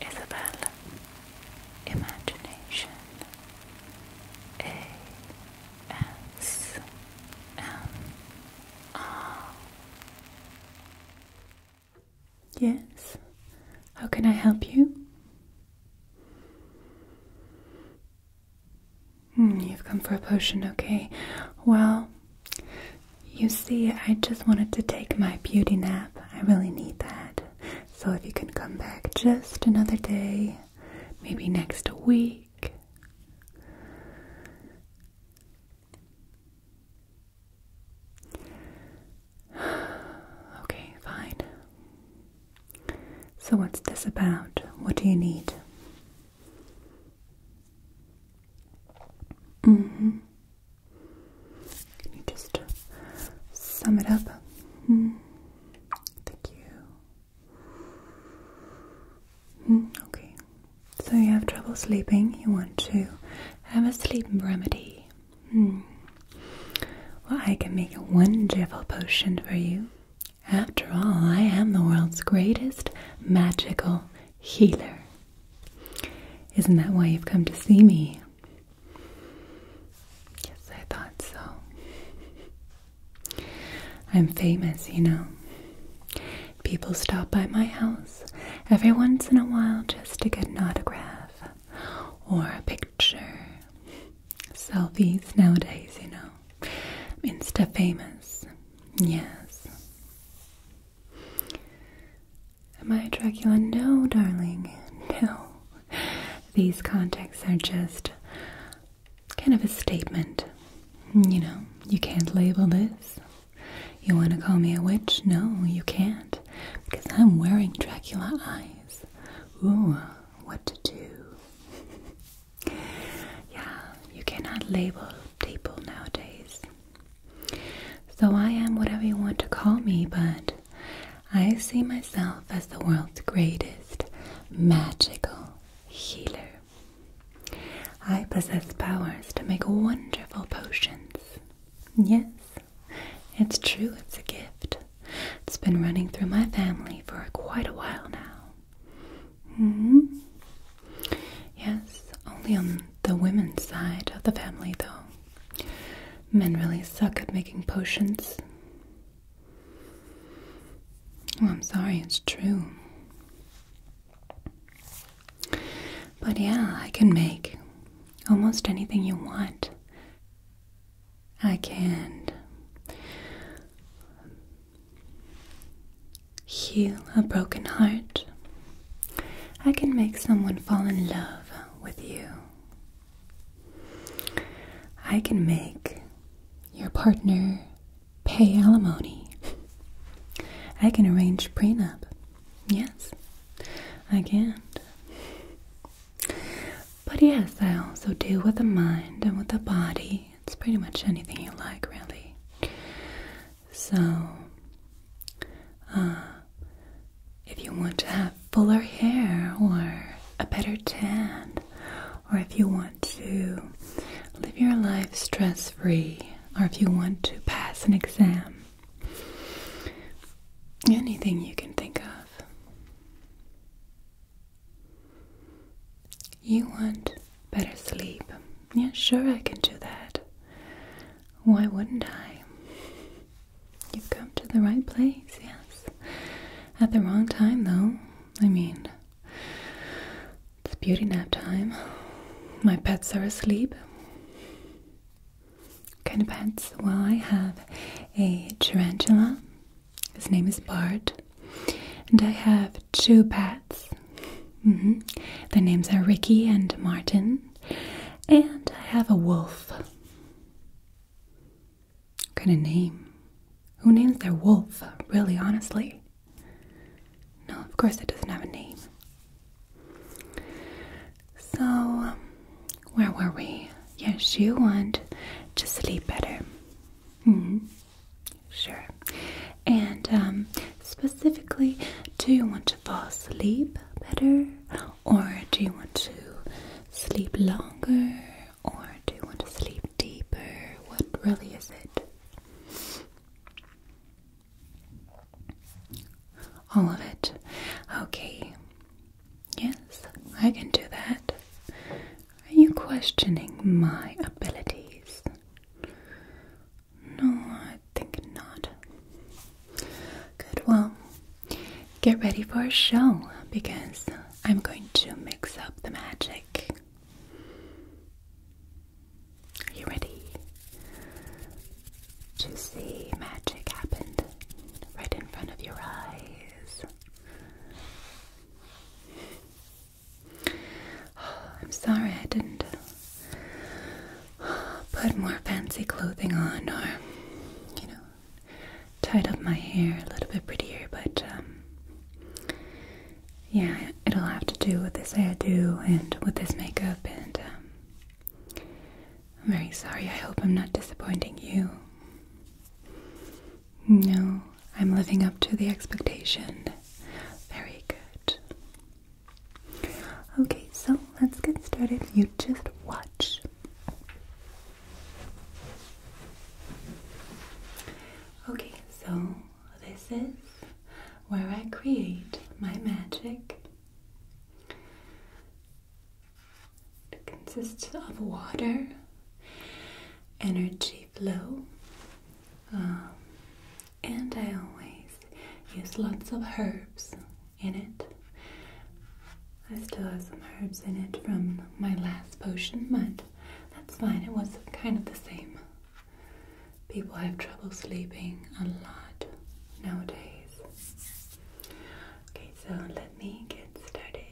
Isabel Imagination A S M R Yes, how can I help you? Hmm, you've come for a potion, okay. Well, you see, I just wanted to take my beauty nap. I really need that. So if you can come back just another day, maybe next week. Okay, fine. So, what's this about? What do you need? Mm -hmm. Can you just uh, sum it up? Hmm. Thank you. Hmm, okay. So you have trouble sleeping. You want to have a sleep remedy. Hmm. Well, I can make a wonderful potion for you. After all, I am the world's greatest magical healer. Isn't that why you've come to see me? Yes, I thought so. I'm famous, you know. People stop by my house every once in a while just to get an autograph or a picture. Selfies nowadays, you know. Insta famous. Yes. Am I a Dracula? No, darling, no. These contexts are just kind of a statement. You know, you can't label this. You want to call me a witch? No, you can't. Because I'm wearing Dracula eyes. Ooh, what to do. yeah, you cannot label people nowadays. So I am whatever you want to call me, but I see myself as the world's greatest magical healer. I possess powers to make wonderful potions. Yes, it's true, it's a gift. It's been running through my family for quite a while now. -hmm. Yes, only on the women's side of the family, though. Men really suck at making potions. I'm sorry, it's true. But yeah, I can make almost anything you want. I can heal a broken heart. I can make someone fall in love with you. I can make your partner pay alimony. I can arrange prenup. Yes, I can. But yes, I also do with the mind and with the body. It's pretty much anything you like, really. So, uh, if you want to have fuller hair or a better tan, or if you want to live your life stress free, or if you want to pass an exam, anything you can think of, you want better sleep. Yeah, sure, I can do that. Why wouldn't I? You've come to the right place, yes. At the wrong time, though. I mean, it's beauty nap time. My pets are asleep. kind of pets? Well, I have a tarantula. His name is Bart. And I have two pets. Mm Their names are Ricky and Martin. And I have a wolf. What kind of name? Who names their wolf, really, honestly? No, of course it doesn't have a name. So, where were we? Yes, you want to sleep better. Mm -hmm. Sure. And um, specifically, do you want to fall asleep better? Or do you want to sleep longer? Or do you want to sleep deeper? What really is it? All of it. Okay. Yes, I can do that. Are you questioning my abilities? No, I think not. Good, well, get ready for a show because I'm going to mix up the magic. Are you ready to see magic happen right in front of your eyes? I'm sorry I didn't put more fancy clothing on or, you know, tied up my hair a little bit prettier, but um, yeah, it'll have to do with this do, and with this makeup, and um, I'm very sorry. I hope I'm not disappointing you. No, I'm living up to the expectation. Very good. Okay, so let's get started. You just watch. Okay, so this is where I create my magic. It consists of water, energy flow, um, and I always use lots of herbs in it. I still have some herbs in it from my last potion, but that's fine. It was kind of the same. People have trouble sleeping a lot nowadays. Okay, so let me get started.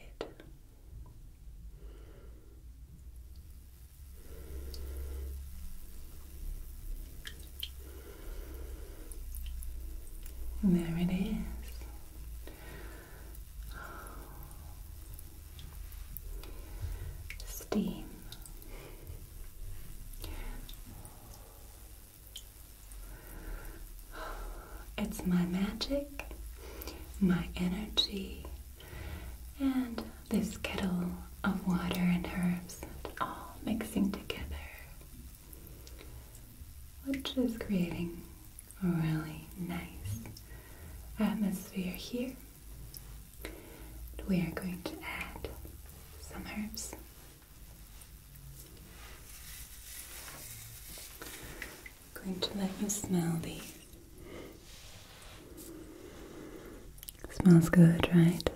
And there it is. Steam. It's my magic, my energy, and this kettle of water and herbs all mixing together, which is creating a really nice atmosphere here. we are going to add some herbs. I'm going to let you smell these. Smells good, right?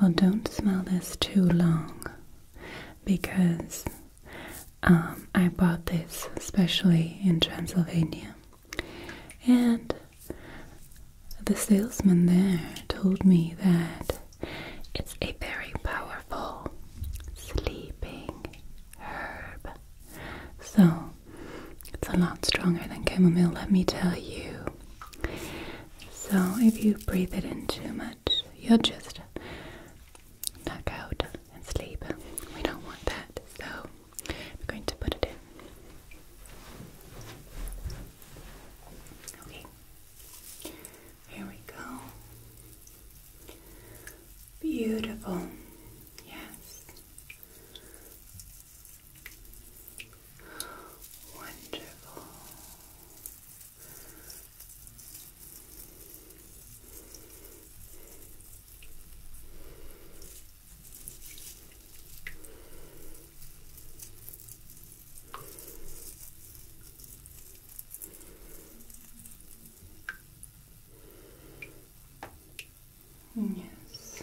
Well, don't smell this too long because um, I bought this especially in Transylvania. And the salesman there told me that it's a very powerful sleeping herb. So it's a lot stronger than chamomile, let me tell you. So if you breathe it in too much, you'll just knock out and sleep. We don't want that, so I'm going to put it in. Okay. Here we go. Beautiful. Yes. Wonderful. Yes,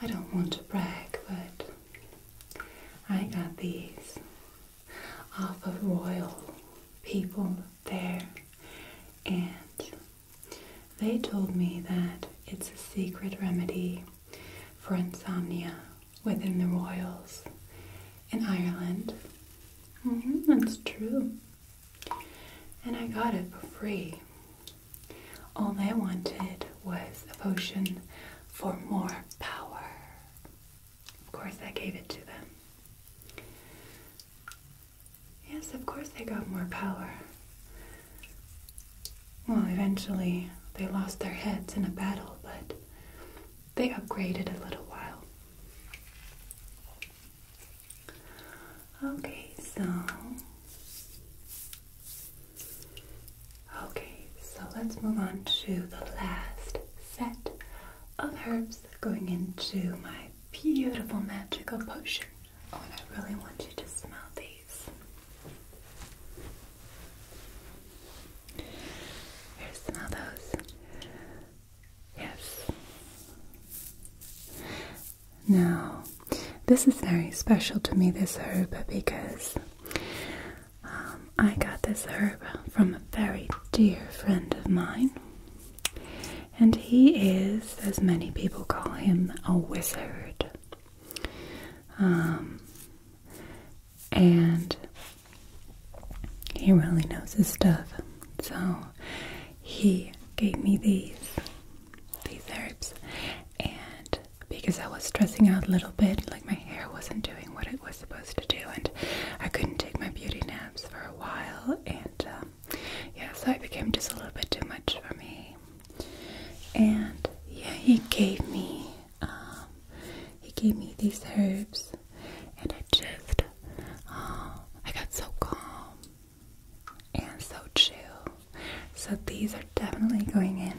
I don't want to brag, but I got these off of Royal People there, and they told me that it's a secret remedy for insomnia within the Royals in Ireland. Mm-hmm, that's true. And I got it for free. All I wanted was a potion for more power. Of course, I gave it to them. Yes, of course, they got more power. Well, eventually, they lost their heads in a battle, but they upgraded a little while. Okay, so Okay, so let's move on to the last set of herbs going into my beautiful magical potion. Oh, and I really want you to smell these. Here, smell those. Yes. Now, this is very special to me, this herb, because um, I got this herb from a very dear friend of mine, and he is, as many people call him, a wizard. Um, and he really knows his stuff, so he gave me these these herbs, and because I was stressing out a little bit, like my hair wasn't doing what it was supposed to do, and I couldn't take my beauty naps for a while, and um, yeah, so it became just a little bit too much for me. And yeah, he gave me, um, he gave me these herbs, and I just, uh, I got so calm and so chill. So these are definitely going in.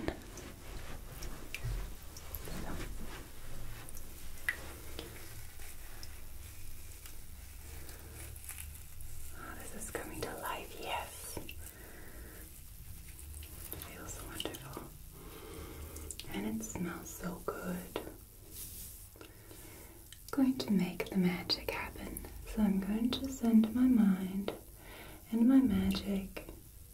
Oh, this is coming to life, yes. feels wonderful. And it smells so good. going to make the magic happen. So I'm going to send my mind and my magic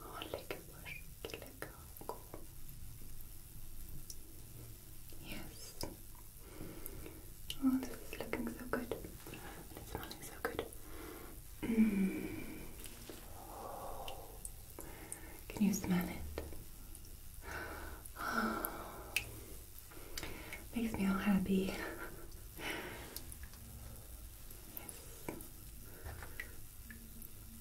Oh, Lickenbush, Gillica, cool. Yes. Oh, this is looking so good. it's smelling so good. Mm. Can you smell it? Makes me all happy.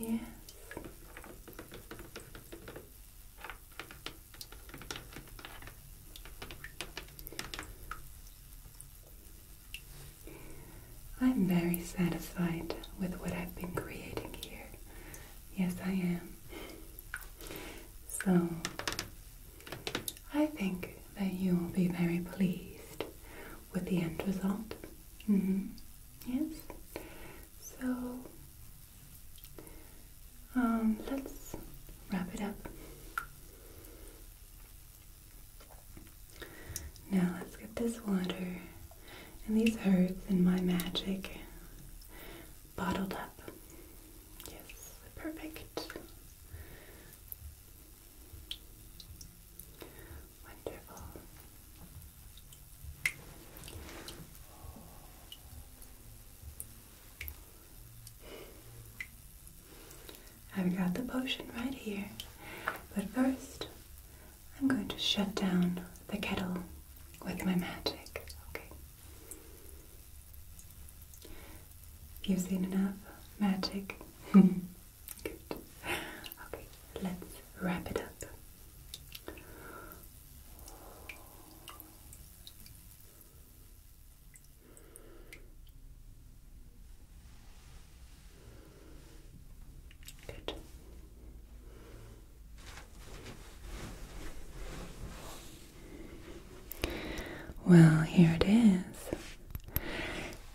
Yes. I'm very satisfied with what I've been creating here Yes, I am. So, I think that you will be very pleased with the end result. Mm -hmm. Yes? So, um, let's wrap it up. Now, let's get this water and these herbs and my magic bottled up. Yes, perfect. Wonderful. I've got the potion right here, but first I'm going to shut down the kettle with my magic, okay? You've seen enough magic? Good. Okay, let's wrap it up. Good. Well, here it is.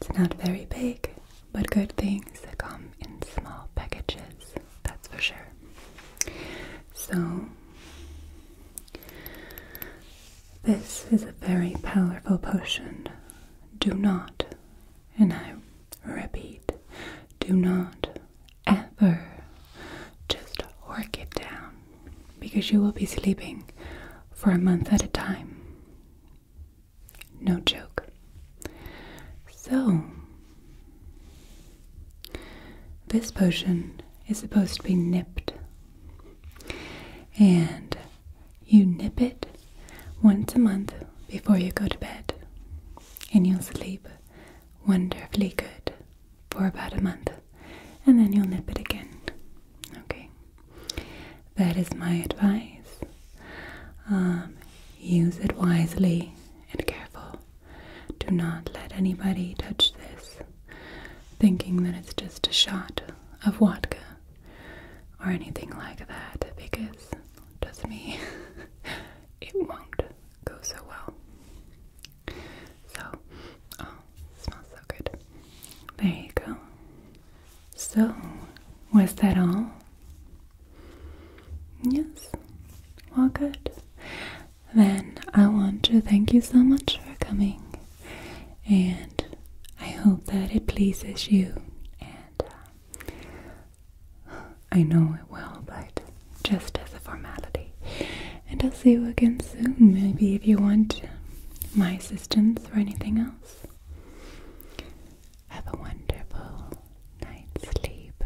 It's not very big, but good things come in small packages, that's for sure. So, this is a very powerful potion. Do not, and I Repeat. Do not ever just work it down because you will be sleeping for a month at a time. No joke. So, this potion is supposed to be nipped. And you nip it once a month before you go to bed, and you'll sleep wonderfully good for about a month and then you'll nip it again. Okay, that is my advice. Um, use it wisely and careful. Do not let anybody touch this thinking that it's just a shot of vodka or anything like that because trust me it won't go so well. So, oh, smells so good. There you go. So, was that all? Yes. Well, good. Then I want to thank you so much for coming, and I hope that it pleases you. And uh, I know it will, but just as a formality. And I'll see you again soon, maybe if you want my assistance or anything else. Have a wonderful night's sleep.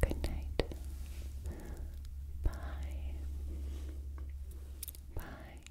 Good night. Bye. Bye.